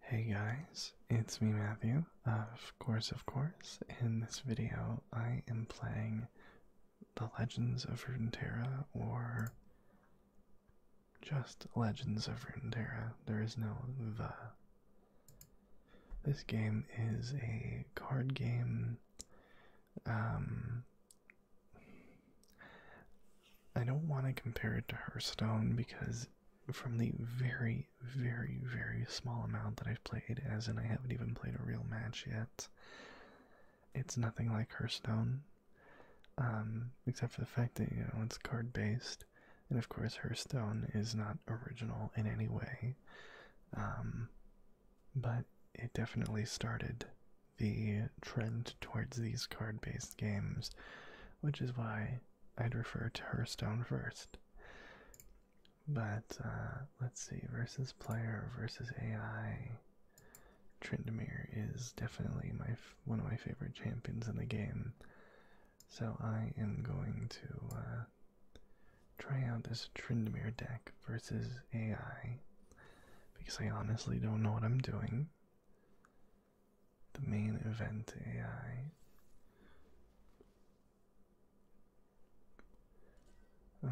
Hey guys, it's me Matthew, of course of course. In this video I am playing The Legends of Runeterra or just Legends of Runeterra. There is no the. This game is a card game. Um I don't want to compare it to Hearthstone because from the very, very, very small amount that I've played, as and I haven't even played a real match yet. It's nothing like Hearthstone, um, except for the fact that you know it's card based, and of course Hearthstone is not original in any way. Um, but it definitely started the trend towards these card based games, which is why I'd refer to Hearthstone first. But uh, let's see, versus player versus AI. Trindemir is definitely my one of my favorite champions in the game, so I am going to uh, try out this Trindemir deck versus AI because I honestly don't know what I'm doing the main event AI.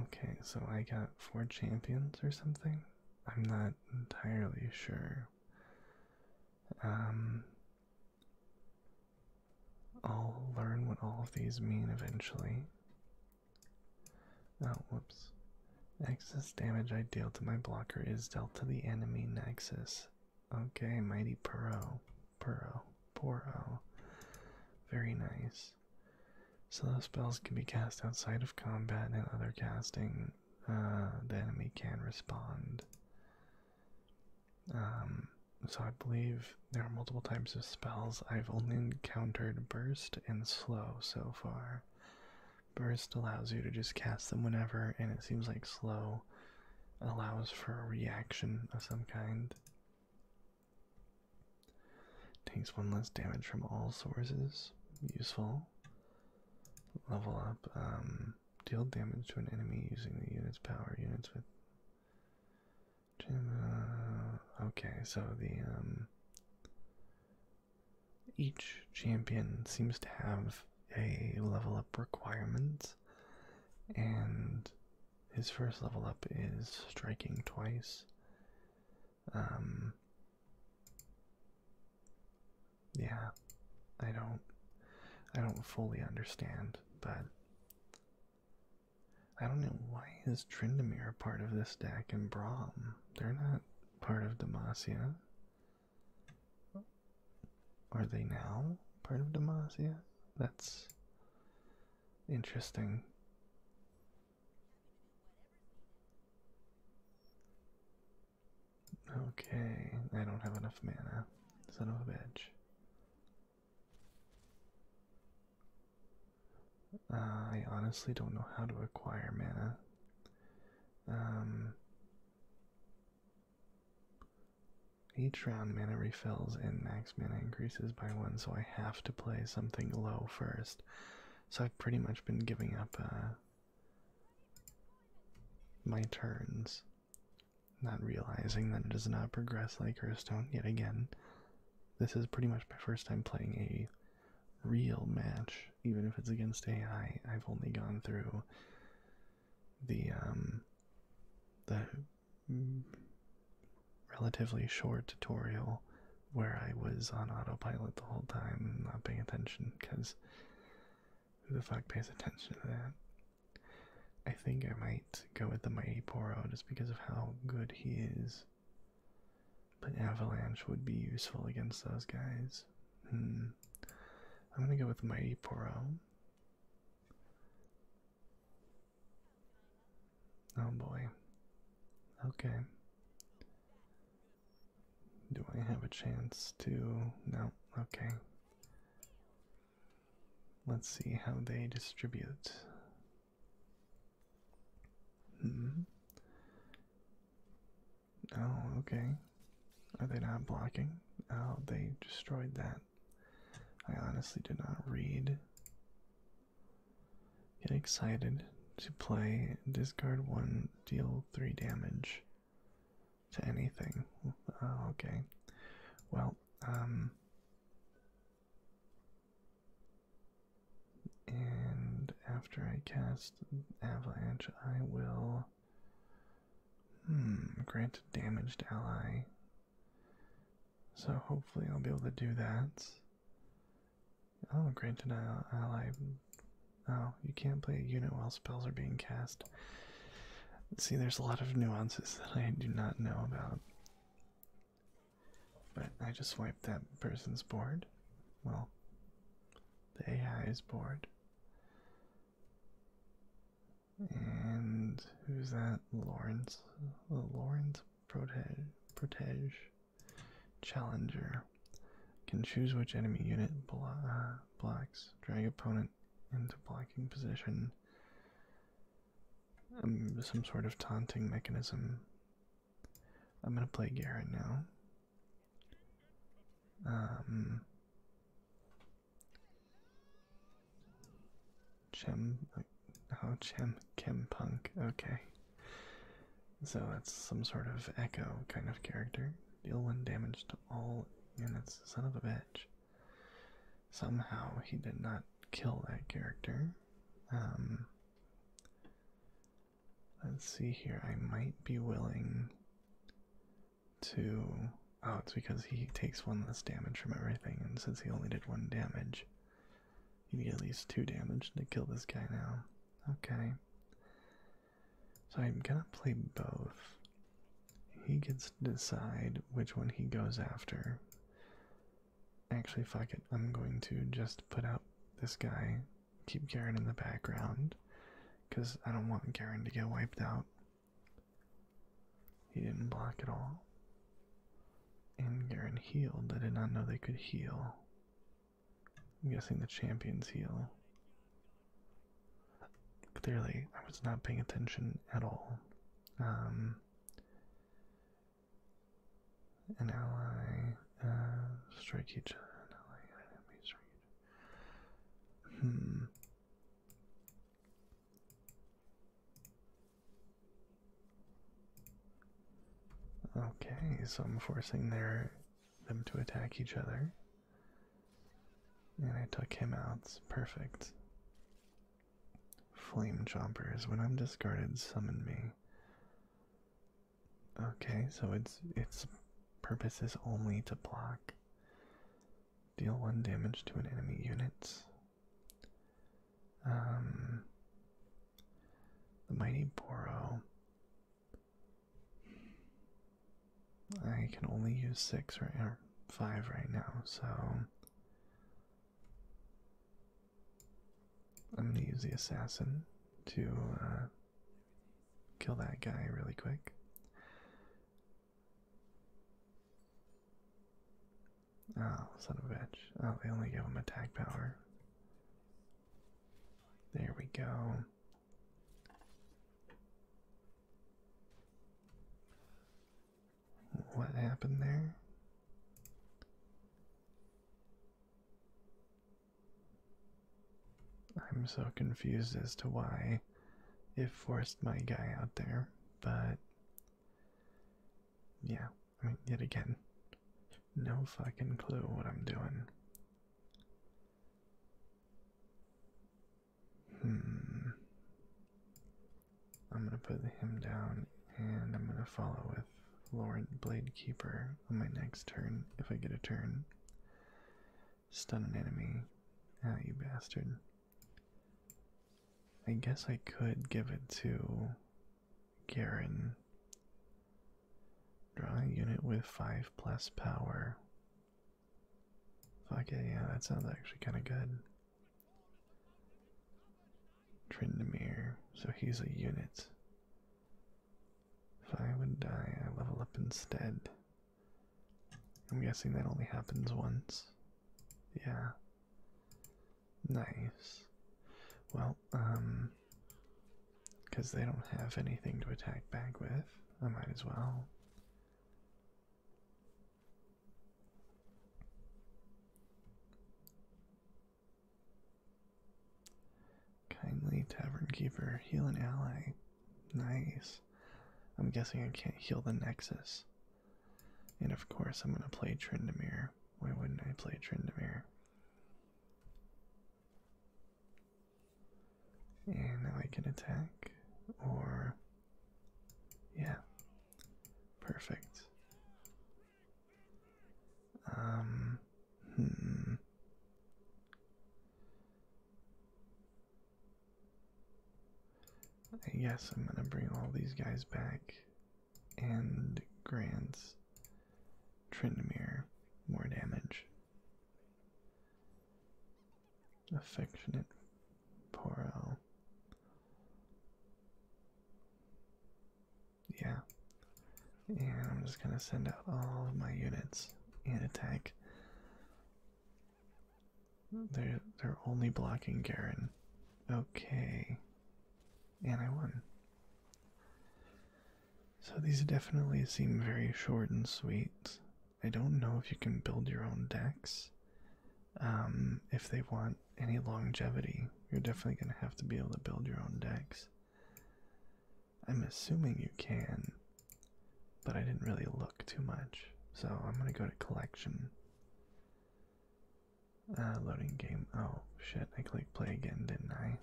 Okay, so I got four champions or something. I'm not entirely sure. Um, I'll learn what all of these mean eventually. Oh, whoops. Nexus damage I deal to my blocker is dealt to the enemy Nexus Okay, Mighty Puro. Puro. Poro. Very nice. So those spells can be cast outside of combat and other casting. Uh, the enemy can respond. Um, so I believe there are multiple types of spells. I've only encountered burst and slow so far. Burst allows you to just cast them whenever, and it seems like slow allows for a reaction of some kind. Takes one less damage from all sources. Useful. Level up. Um, deal damage to an enemy using the unit's power. Units with. okay, so the. Um, each champion seems to have a level up requirement, and his first level up is striking twice. Um, yeah, I don't, I don't fully understand, but I don't know why is Trindamere part of this deck and Braum. They're not part of Demacia. Are they now part of Demacia? That's interesting. Okay, I don't have enough mana. Son of a bitch. Uh, I honestly don't know how to acquire mana. Um, each round mana refills and max mana increases by one, so I have to play something low first. So I've pretty much been giving up uh, my turns, not realizing that it does not progress like Hearthstone yet again. This is pretty much my first time playing a real match, even if it's against AI. I've only gone through the um the relatively short tutorial where I was on autopilot the whole time and not paying attention because who the fuck pays attention to that? I think I might go with the Mighty Poro just because of how good he is. But Avalanche would be useful against those guys. Hmm. I'm gonna go with Mighty Poro. Oh boy. Okay. Do I have a chance to? No. Okay. Let's see how they distribute. Hmm. Oh, okay. Are they not blocking? Oh, they destroyed that. I honestly did not read. Get excited to play. Discard one, deal three damage to anything. Oh, okay. Well, um. And after I cast Avalanche, I will Hmm, grant damaged ally. So hopefully I'll be able to do that. Oh, grant an ally. Oh, you can't play a unit while spells are being cast. See, there's a lot of nuances that I do not know about. But I just wiped that person's board. Well, the AI is bored. And who's that? Lawrence. The Lawrence Protege, Protege Challenger. Can choose which enemy unit blocks. Uh, drag opponent into blocking position. Um, some sort of taunting mechanism. I'm gonna play Garrett now. Um, Chem, oh, Chem, Chem Punk, okay. So that's some sort of Echo kind of character. Deal one damage to all units, son of a bitch. Somehow he did not kill that character. Um, let's see here, I might be willing to. Oh, it's because he takes one less damage from everything, and since he only did one damage, he'd get at least two damage to kill this guy now. Okay. So I'm gonna play both. He gets to decide which one he goes after. Actually, fuck it. I'm going to just put out this guy, keep Garen in the background, because I don't want Garen to get wiped out. He didn't block at all. And Garen healed. I did not know they could heal. I'm guessing the champions heal. Clearly, I was not paying attention at all. Um, an ally, uh, strike each other. An ally, enemy, strike Hmm. Okay, so I'm forcing their them to attack each other. And I took him out. It's perfect. Flame chompers. When I'm discarded, summon me. Okay, so its its purpose is only to block. Deal one damage to an enemy unit. Um, the Mighty Boro. I can only use six right or five right now, so I'm gonna use the assassin to uh, kill that guy really quick. Oh, son of a bitch. Oh, they only give him attack power. There we go. What happened there? I'm so confused as to why it forced my guy out there, but yeah, I mean, yet again, no fucking clue what I'm doing. Hmm. I'm gonna put him down and I'm gonna follow with Lord Bladekeeper on my next turn if I get a turn. Stun an enemy. now ah, you bastard. I guess I could give it to Garen. Draw a unit with 5 plus power. Fuck it, yeah, that sounds actually kind of good. Trindamir, so he's a unit. If I would die, I level up instead. I'm guessing that only happens once. Yeah. Nice. Well, um, because they don't have anything to attack back with, I might as well. Kindly Tavern Keeper, heal an ally. Nice. I'm guessing I can't heal the Nexus. And of course, I'm going to play Trindamere. Why wouldn't I play Trindamere? And now I can attack, or. Yeah. Perfect. Um. Hmm. I guess I'm gonna bring all these guys back and grants Trindamere more damage. Affectionate Poro. Yeah. And I'm just gonna send out all of my units and attack they're they're only blocking Garen. Okay. And I won. So these definitely seem very short and sweet. I don't know if you can build your own decks. Um, if they want any longevity, you're definitely going to have to be able to build your own decks. I'm assuming you can but I didn't really look too much. So I'm gonna go to collection. Uh, loading game. Oh shit, I clicked play again, didn't I?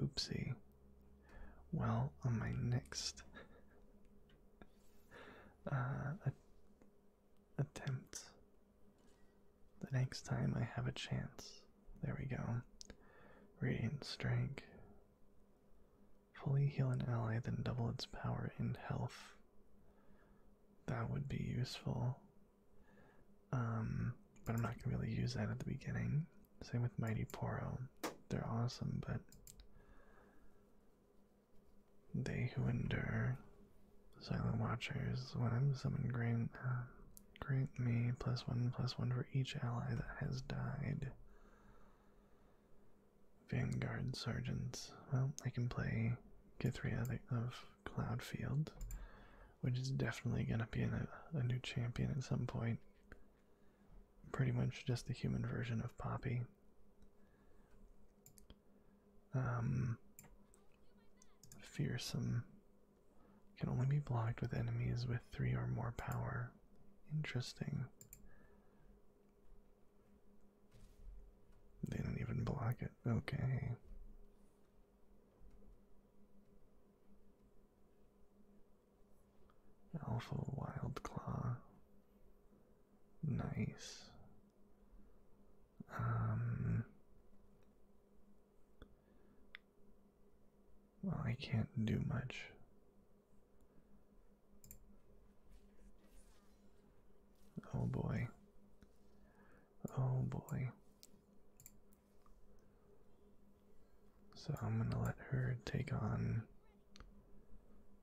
Oopsie. Well, on my next uh, attempt, the next time I have a chance. There we go. Radiant strength. Fully heal an ally, then double its power and health. That would be useful. Um, but I'm not going to be able to use that at the beginning. Same with Mighty Poro. They're awesome, but they who endure, Silent Watchers, when I'm summoned, grant uh, me plus one plus one for each ally that has died. Vanguard sergeants. Well, I can play Githria of Cloudfield, which is definitely going to be a, a new champion at some point. Pretty much just the human version of Poppy. Um, fearsome. Can only be blocked with enemies with three or more power. Interesting. They don't even block it. Okay. Alpha Wild Claw. Nice. Um, well, I can't do much. Oh boy. Oh boy. So I'm going to let her take on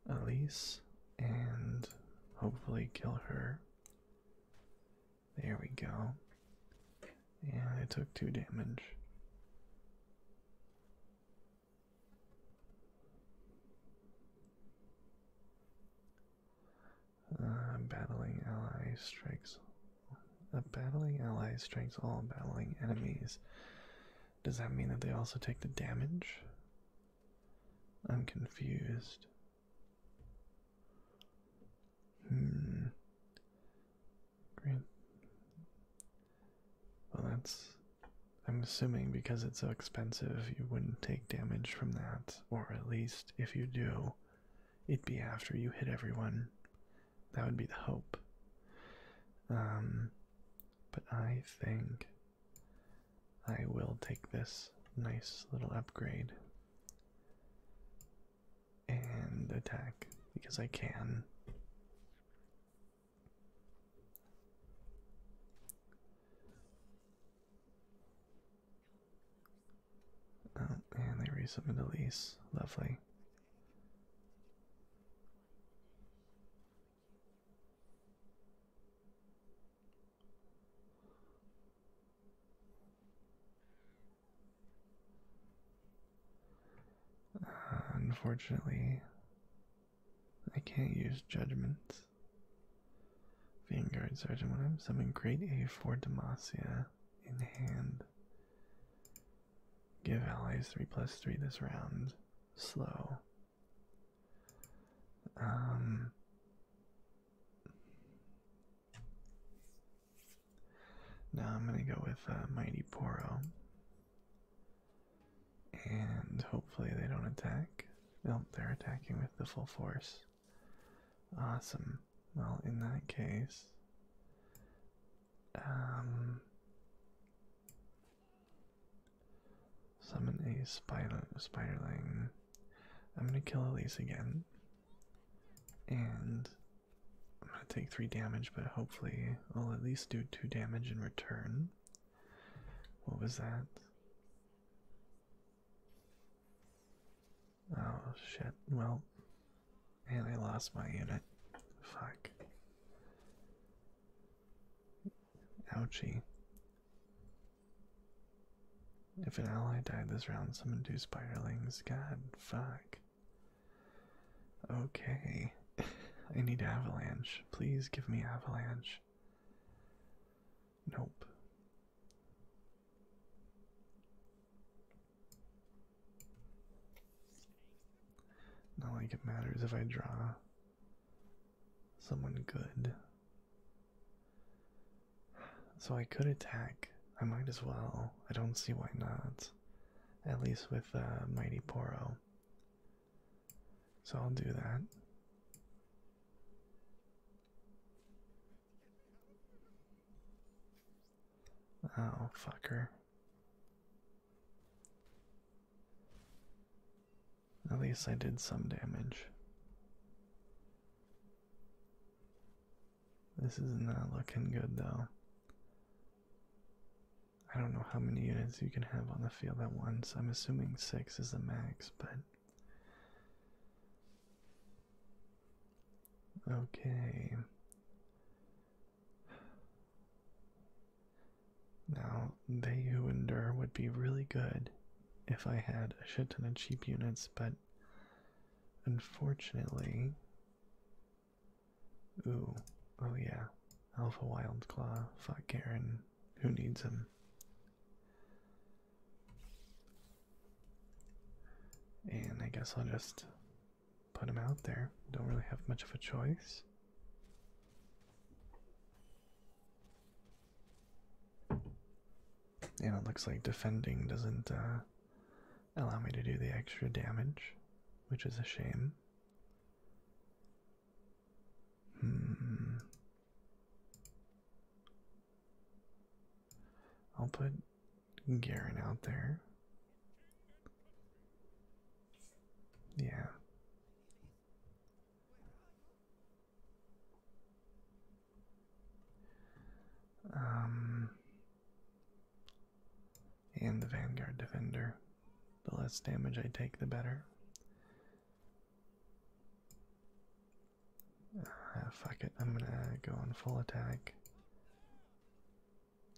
Elise and hopefully kill her. There we go. Yeah, I took two damage. Uh, battling ally strikes. A battling ally strikes all battling enemies. Does that mean that they also take the damage? I'm confused. Hmm. Great. Well, that's. I'm assuming because it's so expensive, you wouldn't take damage from that, or at least if you do, it'd be after you hit everyone. That would be the hope. Um, but I think I will take this nice little upgrade and attack because I can. Oh, and they resubmit a lease. Lovely. Uh, unfortunately, I can't use judgments. Vanguard Sergeant, when I'm summoning Great A4 Demacia in hand, give allies 3 plus 3 this round. Slow. Um, now I'm gonna go with uh, Mighty Poro and hopefully they don't attack. Nope, they're attacking with the full force. Awesome. Well, in that case, um, summon a spider spiderling. I'm gonna kill Elise again, and I'm gonna take three damage, but hopefully I'll at least do two damage in return. What was that? Oh shit. Well, and I lost my unit. Fuck. Ouchie. If an ally died this round, summon two spirelings. God, fuck. Okay. I need avalanche. Please give me avalanche. Nope. Not like it matters if I draw someone good. So I could attack. I might as well. I don't see why not. At least with uh, Mighty Poro. So I'll do that. Oh, fucker. At least I did some damage. This is not looking good though. I don't know how many units you can have on the field at once. I'm assuming six is the max, but. Okay. Now, they who endure would be really good if I had a shit ton of cheap units, but unfortunately. Ooh, oh yeah, Alpha Wildclaw Fuck Garen. Who needs him? And I guess I'll just put him out there. Don't really have much of a choice. And it looks like defending doesn't uh, allow me to do the extra damage, which is a shame. Hmm. I'll put Garen out there. Yeah. Um, and the Vanguard Defender. The less damage I take, the better. Ah, fuck it, I'm gonna go on full attack.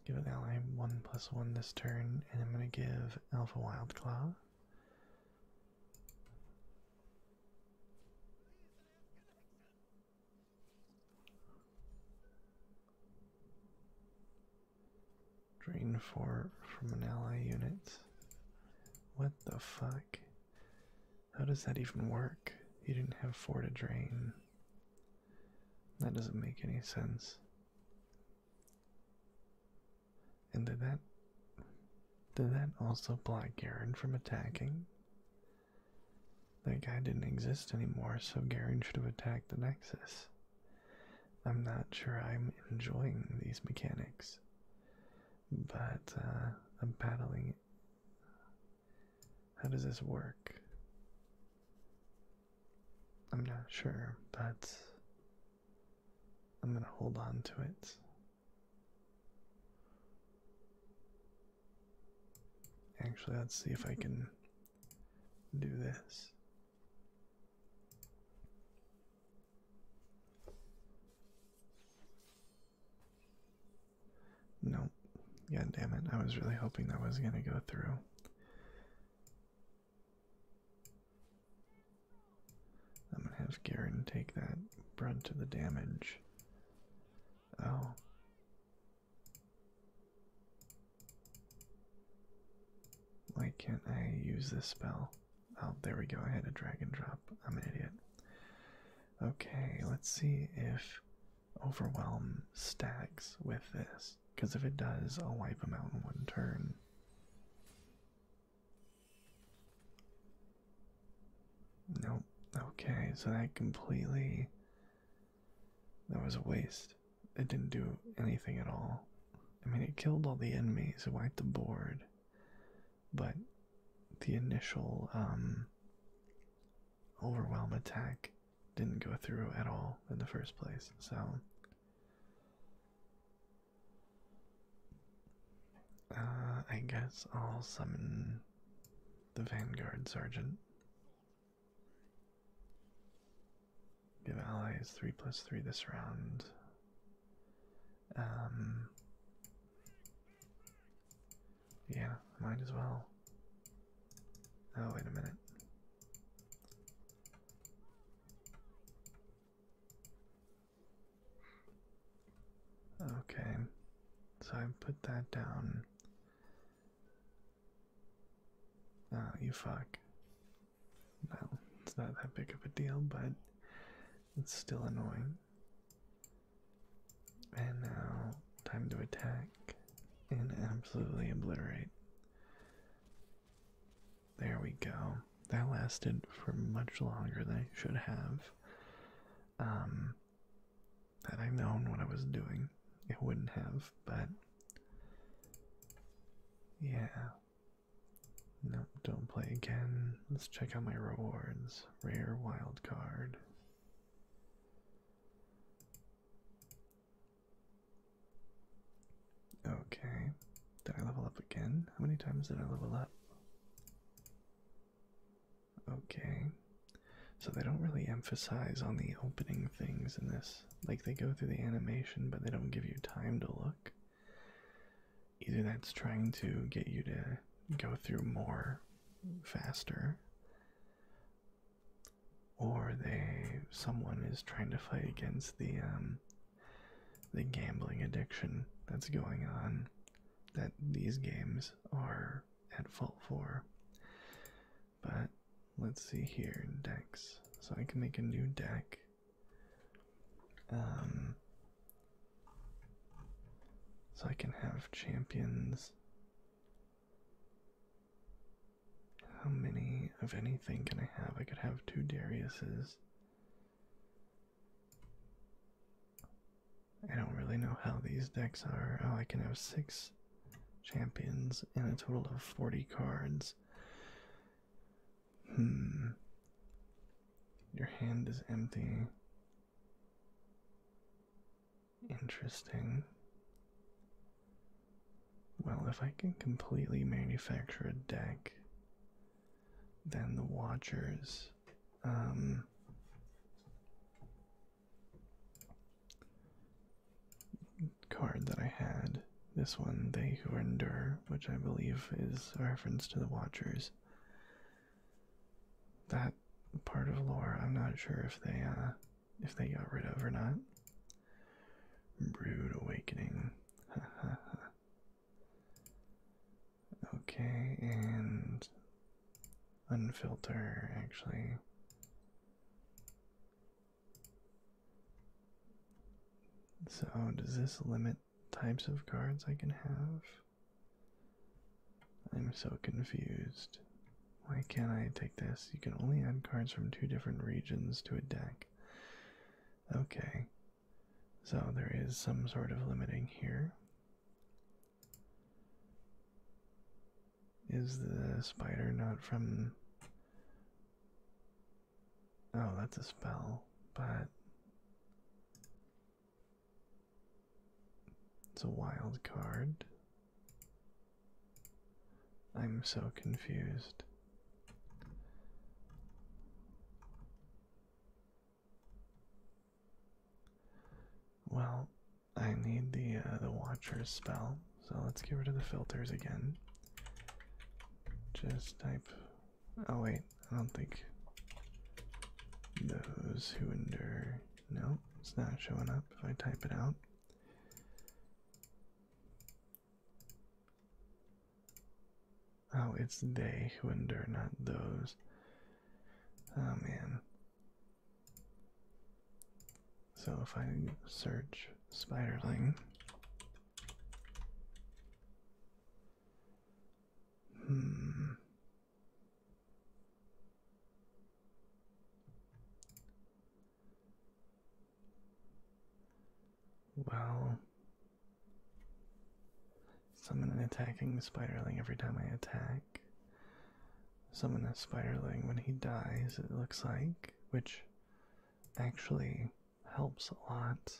Give an ally 1 plus 1 this turn, and I'm gonna give Alpha Wild Claw. Drain for from an ally unit. What the fuck? How does that even work? You didn't have four to drain. That doesn't make any sense. And did that did that also block Garen from attacking? That guy didn't exist anymore, so Garen should have attacked the Nexus. I'm not sure I'm enjoying these mechanics, but uh, I'm battling. How does this work? I'm not sure, but I'm going to hold on to it. Actually, let's see if I can do this. Nope. God damn it. I was really hoping that was going to go through. I'm going to have Garen take that brunt of the damage. Oh. Why can't I use this spell? Oh, there we go. I had to drag and drop. I'm an idiot. Okay, let's see if Overwhelm stacks with this. Because if it does, I'll wipe them out in one turn. Nope. Okay, so that completely. That was a waste it didn't do anything at all. I mean, it killed all the enemies, it wiped the board, but the initial um, overwhelm attack didn't go through at all in the first place, so. Uh, I guess I'll summon the Vanguard Sergeant. Give allies 3 plus 3 this round. Um, yeah, might as well. Oh, wait a minute. Okay, so I put that down. Oh, you fuck. Well, it's not that big of a deal, but it's still annoying. And now, time to attack and absolutely obliterate. There we go. That lasted for much longer than I should have. Um, had I known what I was doing, it wouldn't have, but yeah, Nope, don't play again. Let's check out my rewards. Rare wild card. Okay. Did I level up again? How many times did I level up? Okay. So they don't really emphasize on the opening things in this. Like they go through the animation, but they don't give you time to look either that's trying to get you to go through more faster or they someone is trying to fight against the um, the gambling addiction that's going on that these games are at fault for but let's see here decks so i can make a new deck um, so I can have champions. How many of anything can I have? I could have two Dariuses. I don't really know how these decks are. Oh, I can have six champions and a total of 40 cards. Hmm. Your hand is empty. Interesting. Well, if I can completely manufacture a deck, then the Watchers. Um, card that I had this one, They Who Endure, which I believe is a reference to the Watchers. That part of lore, I'm not sure if they uh, if they got rid of or not. Brood Awakening. okay, and unfilter actually. So, does this limit types of cards I can have? I'm so confused. Why can't I take this? You can only add cards from two different regions to a deck. Okay. So, there is some sort of limiting here. Is the spider not from Oh, that's a spell, but it's a wild card. I'm so confused. Well, I need the uh, the Watcher's spell, so let's get rid of the filters again. Just type Oh wait, I don't think those who endure. No, it's not showing up if I type it out. Oh, it's they who endure, not those. Oh man. So if I search spiderling, Hmm. Well, summon an attacking spiderling every time I attack. Someone a spiderling when he dies, it looks like, which actually helps a lot.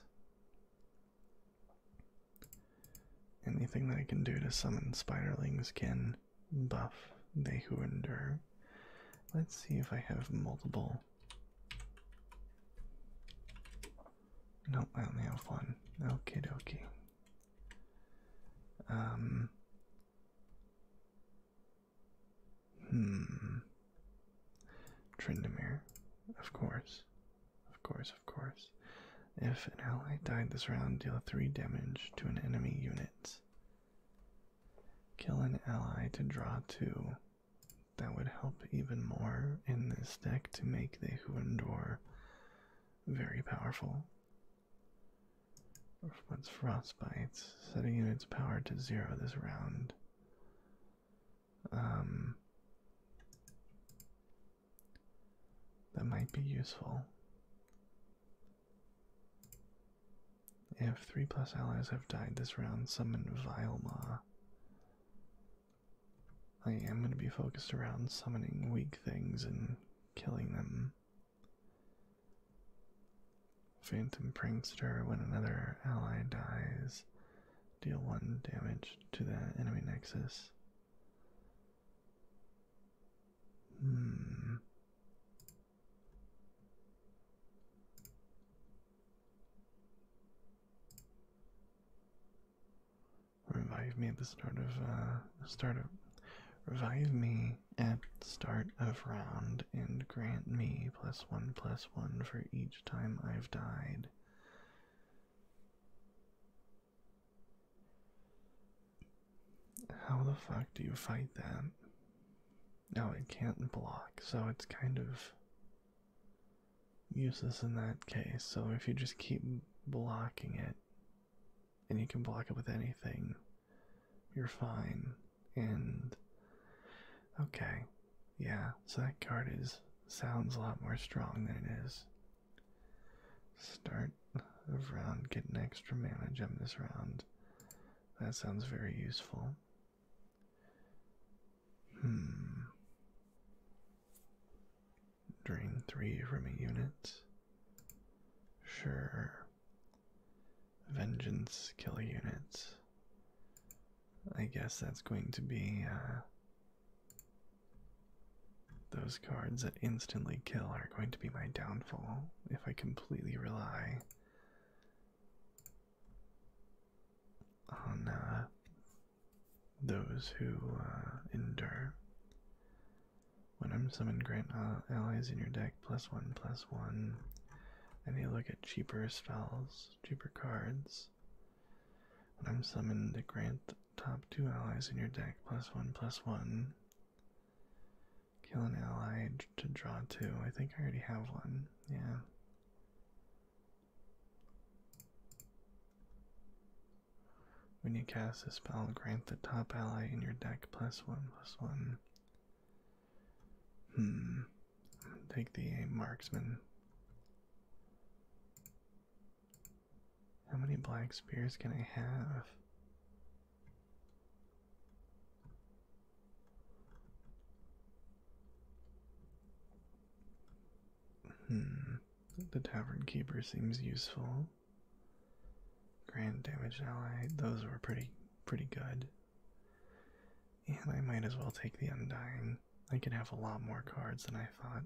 Anything that I can do to summon spiderlings can buff they who endure. Let's see if I have multiple. Nope, I only have one. Okay, dokie. Um, Hmm. Trindamere. Of course. Of course, of course. If an ally died this round, deal 3 damage to an enemy unit. Kill an ally to draw 2. That would help even more in this deck to make the Huendor very powerful. What's Frostbite? Setting its power to zero this round. Um, that might be useful. If three plus allies have died this round, summon Vilema. I am going to be focused around summoning weak things and killing them. Phantom Prankster, when another ally dies, Deal 1 damage to that enemy nexus. Hmm. Revive me at the start of uh, start of revive me at start of round and grant me plus one plus one for each each time I've died. How the fuck do you fight that? No, it can't block, so it's kind of useless in that case. So if you just keep blocking it, and you can block it with anything, you're fine. And okay, yeah, so that card is sounds a lot more strong than it is. Start of round, get extra mana gem this round. That sounds very useful. Hmm. Drain three from a unit. Sure. Vengeance, kill a unit. I guess that's going to be uh, those cards that instantly kill are going to be my downfall if I completely rely on uh, those who uh, endure. When I'm summoned, grant allies in your deck plus one plus one. And you look at cheaper spells, cheaper cards. When I'm summoned to grant top two allies in your deck plus one plus one. Kill an ally to draw two. I think I already have one. Yeah. When you cast a spell, grant the top ally in your deck plus one plus one. Hmm take the marksman. How many black spears can I have? Hmm, the tavern keeper seems useful. Grand damage ally, those were pretty pretty good. And I might as well take the Undying. I could have a lot more cards than I thought.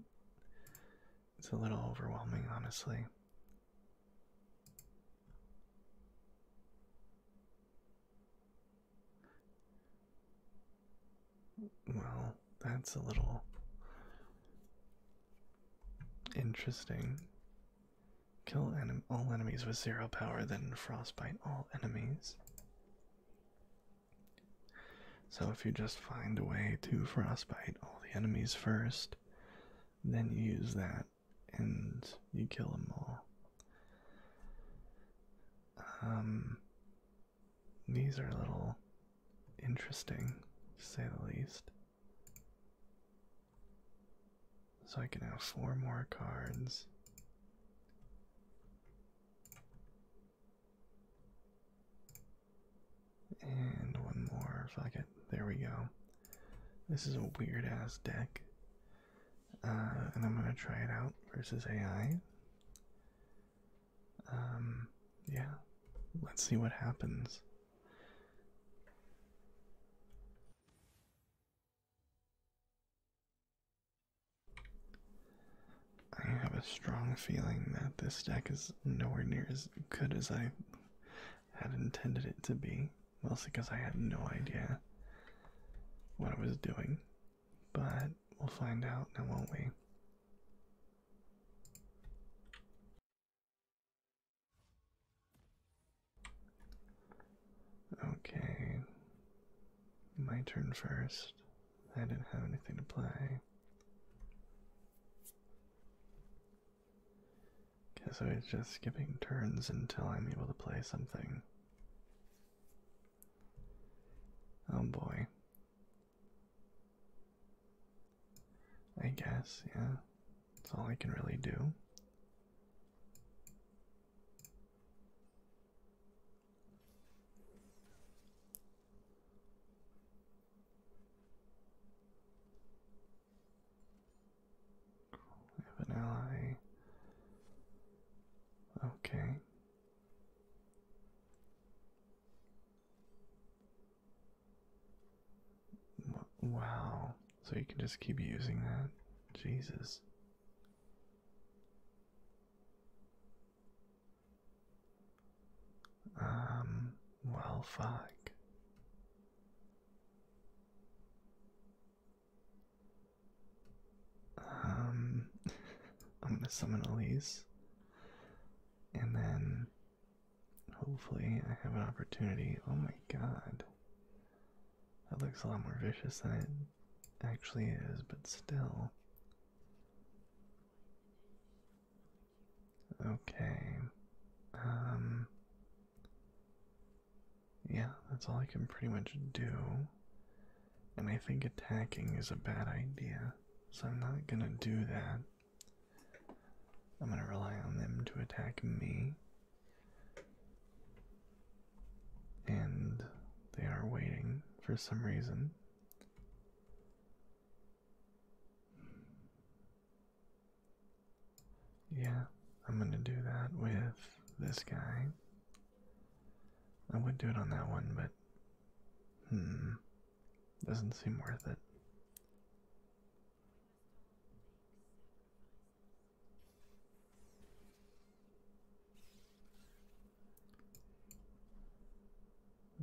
It's a little overwhelming, honestly. Well, that's a little interesting. Kill all enemies with zero power, then frostbite all enemies. So if you just find a way to frostbite all the enemies first, then you use that and you kill them all. Um, these are a little interesting, to say the least. So I can have four more cards. And one more, fuck it. There we go. This is a weird ass deck. Uh, and I'm gonna try it out versus AI. Um, yeah. Let's see what happens. I have a strong feeling that this deck is nowhere near as good as I had intended it to be, mostly because I had no idea what I was doing. But we'll find out now, won't we? Okay, my turn first. I didn't have anything to play. Guess I was just skipping turns until I'm able to play something. Oh boy. I guess, yeah. That's all I can really do. We have an ally. Okay. Wow. So you can just keep using that? Jesus. Um, well, fuck. Um, I'm gonna summon Elise, and then hopefully I have an opportunity. Oh my god, that looks a lot more vicious than it actually is, but still. Okay. Um, yeah, that's all I can pretty much do. And I think attacking is a bad idea, so I'm not gonna do that. I'm gonna rely on them to attack me and they are waiting for some reason. Yeah, I'm gonna do that with this guy. I would do it on that one, but hmm, doesn't seem worth it.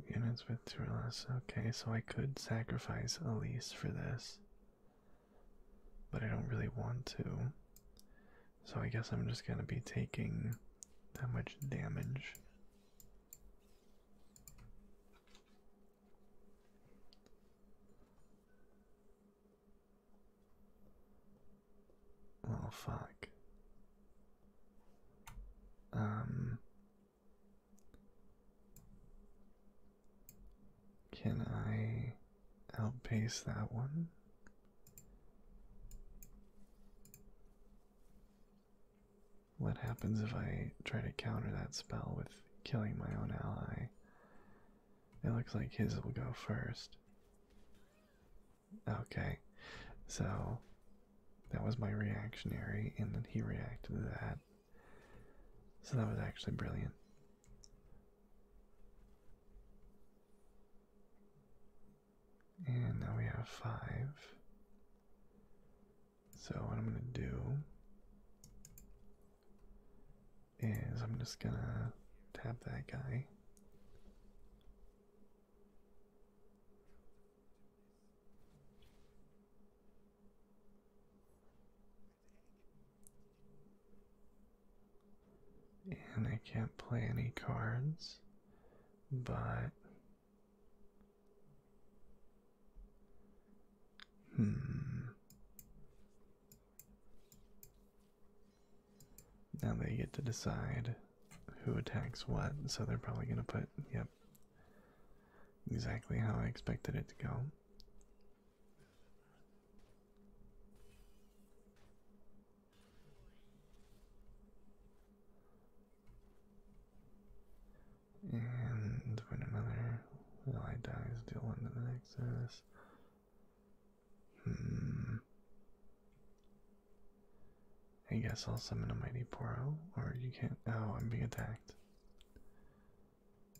Units with two Okay, so I could sacrifice Elise for this. But I don't really want to. So I guess I'm just gonna be taking that much damage. Oh fuck. Um Can I outpace that one? What happens if I try to counter that spell with killing my own ally? It looks like his will go first. Okay, so that was my reactionary, and then he reacted to that. So that was actually brilliant. And now we have five. So, what I'm going to do is I'm just going to tap that guy. And I can't play any cards, but. Hmm. Now they get to decide who attacks what, so they're probably going to put, yep, exactly how I expected it to go. And when another ally dies, deal one to the next. Hmm. I guess I'll summon a mighty Poro, or you can't. Oh, I'm being attacked.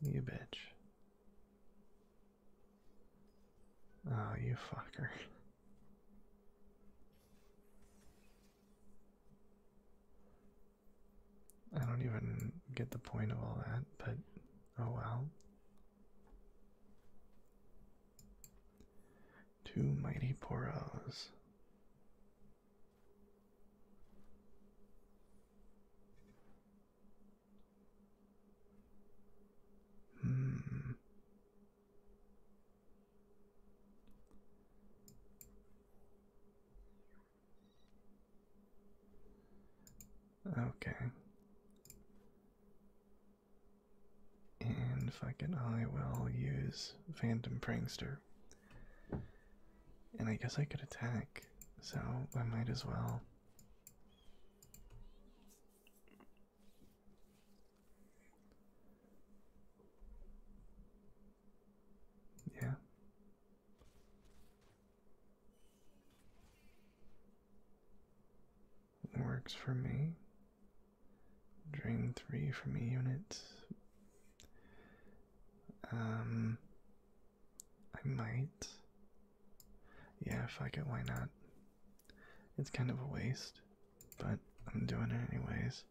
You bitch. Oh, you fucker. I don't even get the point of all that, but oh well. Two mighty poros. Hmm. Okay. And fucking I will use Phantom Prankster. And I guess I could attack, so I might as well. Yeah. Works for me. Dream three for me, unit. Um, I might. Yeah, fuck it, why not? It's kind of a waste, but I'm doing it anyways.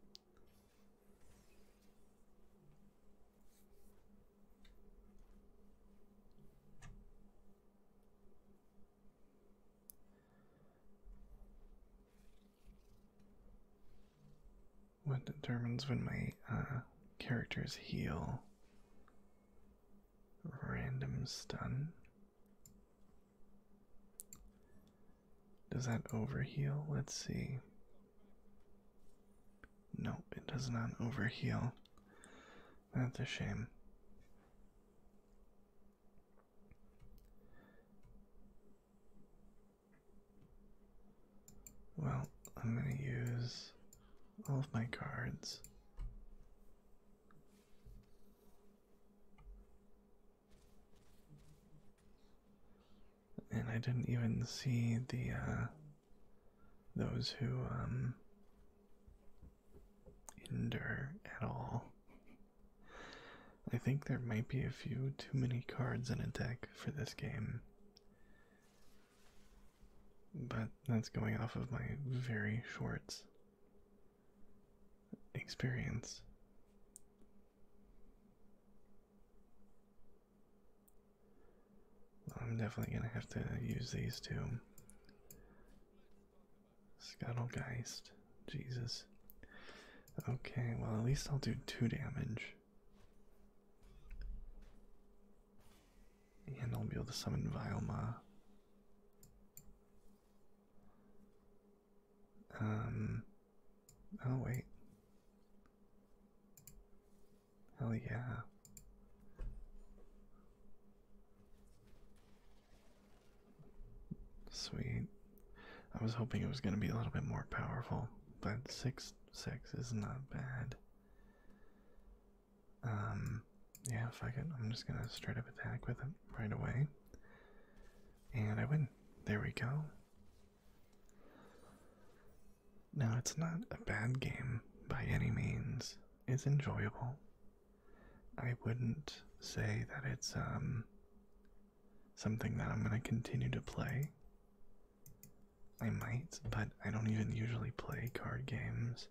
What determines when my uh, characters heal? Random stun. Does that over heal? Let's see. Nope, it does not over heal. That's a shame. Well, I'm going to use all of my cards. And I didn't even see the uh, those who um, Ender at all. I think there might be a few too many cards in a deck for this game. But that's going off of my very short experience. I'm definitely going to have to use these two. Scuttlegeist. Jesus. Okay, well, at least I'll do two damage. And I'll be able to summon Vioma. Um. Oh, wait. Hell yeah. Sweet. I was hoping it was going to be a little bit more powerful, but 6 6 is not bad. Um, yeah, I it. I'm just going to straight up attack with it right away. And I win. There we go. Now, it's not a bad game by any means, it's enjoyable. I wouldn't say that it's um something that I'm going to continue to play. I might, but I don't even usually play card games.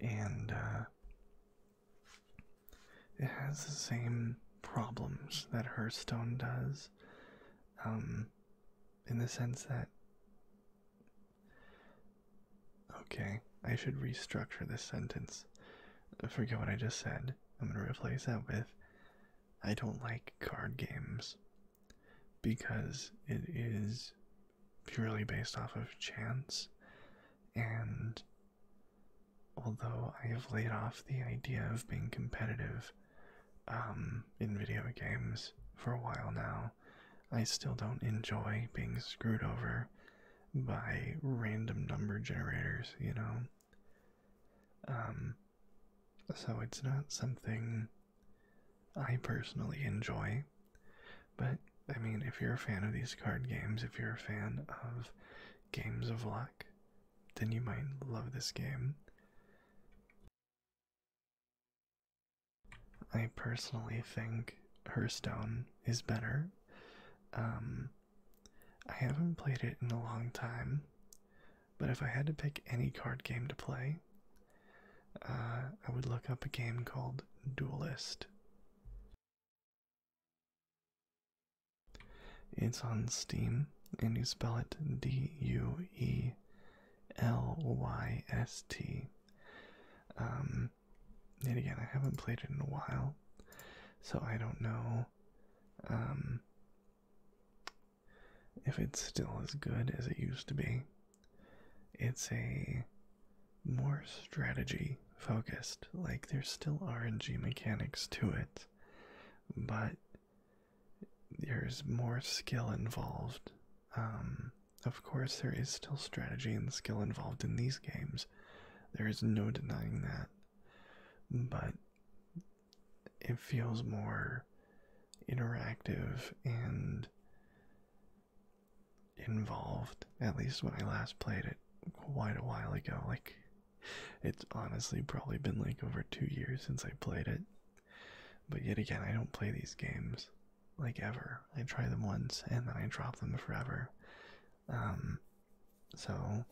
And uh, it has the same problems that Hearthstone does. Um in the sense that Okay, I should restructure this sentence. Forget what I just said. I'm going to replace that with I don't like card games because it is purely based off of chance. And although I have laid off the idea of being competitive um, in video games for a while now, I still don't enjoy being screwed over by random number generators, you know. Um, so it's not something I personally enjoy, but I mean, if you're a fan of these card games, if you're a fan of games of luck, then you might love this game. I personally think Hearthstone is better. Um, I haven't played it in a long time, but if I had to pick any card game to play, uh, I would look up a game called Duelist. It's on Steam, and you spell it D U E L Y S T. Um, and again, I haven't played it in a while, so I don't know um, if it's still as good as it used to be. It's a more strategy focused, like, there's still RNG mechanics to it, but there's more skill involved. Um, of course, there is still strategy and skill involved in these games, there is no denying that. But it feels more interactive and involved, at least when I last played it quite a while ago. Like, it's honestly probably been like over two years since I played it. But yet again, I don't play these games like ever. I try them once and then I drop them forever. Um, so,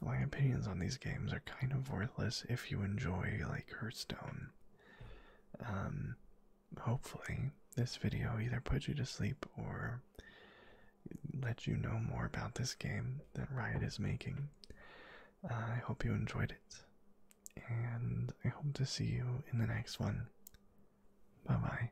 my opinions on these games are kind of worthless if you enjoy, like, Hearthstone. Um, hopefully, this video either put you to sleep or let you know more about this game that Riot is making. Uh, I hope you enjoyed it, and I hope to see you in the next one. Bye bye.